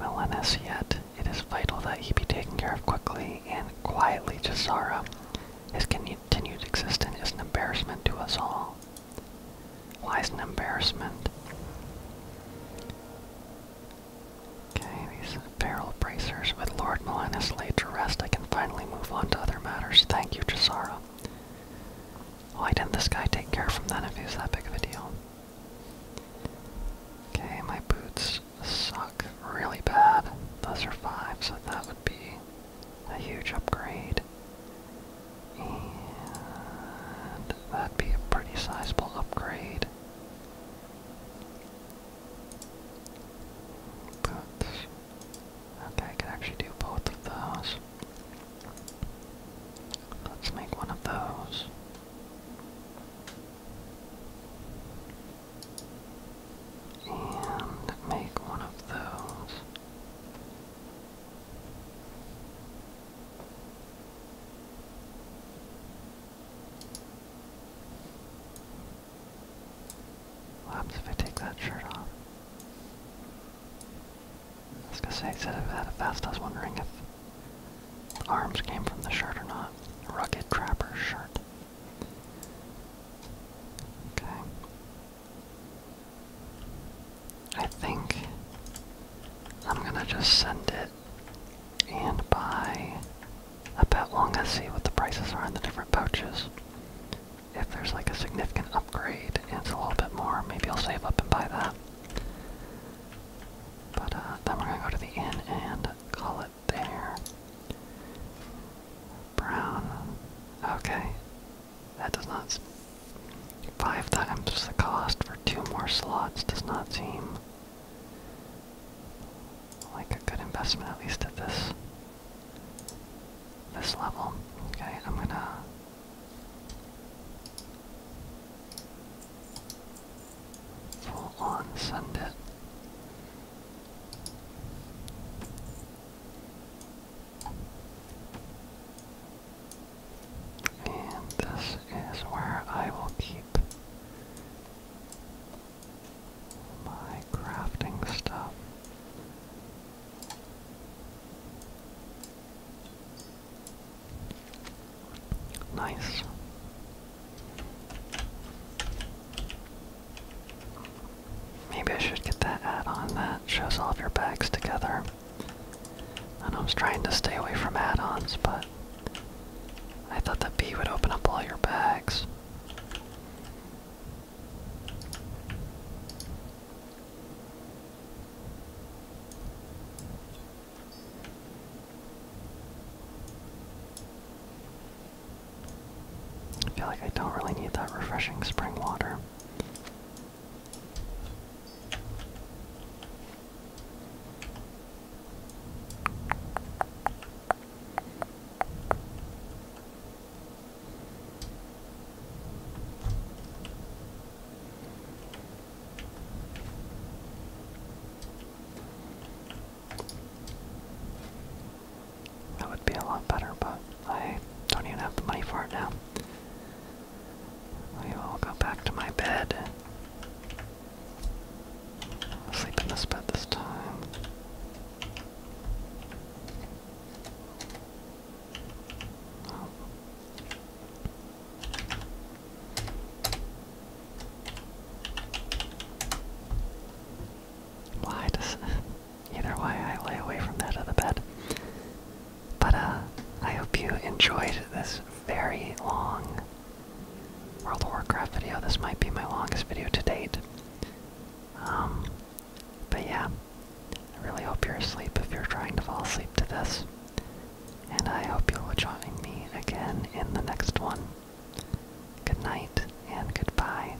Melanus yet? It is vital that he be taken care of quickly and quietly, Jazara. His continued existence is an embarrassment to us all lies in embarrassment. Okay, these barrel bracers with Lord Milanus laid to rest. I can finally move on to other matters. Thank you, Jazara. Why didn't this guy take care from then if he was that big of a deal? Okay, my boots suck really bad. Those are five, so that would be a huge upgrade. And that'd be a pretty sizable upgrade. Boots. Okay, I can actually do both of those. Let's make one of those. And make one of those. What happens if I take that shirt off? I was gonna say, instead of that fast, I was wondering if arms came from the shirt or not. Rugged Trapper shirt. Okay. I think I'm gonna just send it and buy a pet longa, see what the prices are in the different pouches. If there's like a significant upgrade and it's a little bit more, maybe I'll save up and buy that. But uh, then we're gonna go to the inn and call it there. Brown. Okay, that does not. Five times the cost for two more slots does not seem like a good investment, at least at this this level. Okay, I'm gonna. Full on send it. And this is where I will keep my crafting stuff. Nice. Maybe I should get that add-on that shows all of your bags together. I know I was trying to stay away from add-ons, but I thought that bee would open up all your bags. I feel like I don't really need that refreshing spring water. That would be a lot better, but I don't even have the money for it now. We will go back to my bed. sleep in this bed this time. Why does Either way, I lay away from that other bed. But uh, I hope you enjoyed this very long World of Warcraft video. This might be my longest video to date. Um, but yeah, I really hope you're asleep if you're trying to fall asleep to this. And I hope you'll join me again in the next one. Good night and goodbye.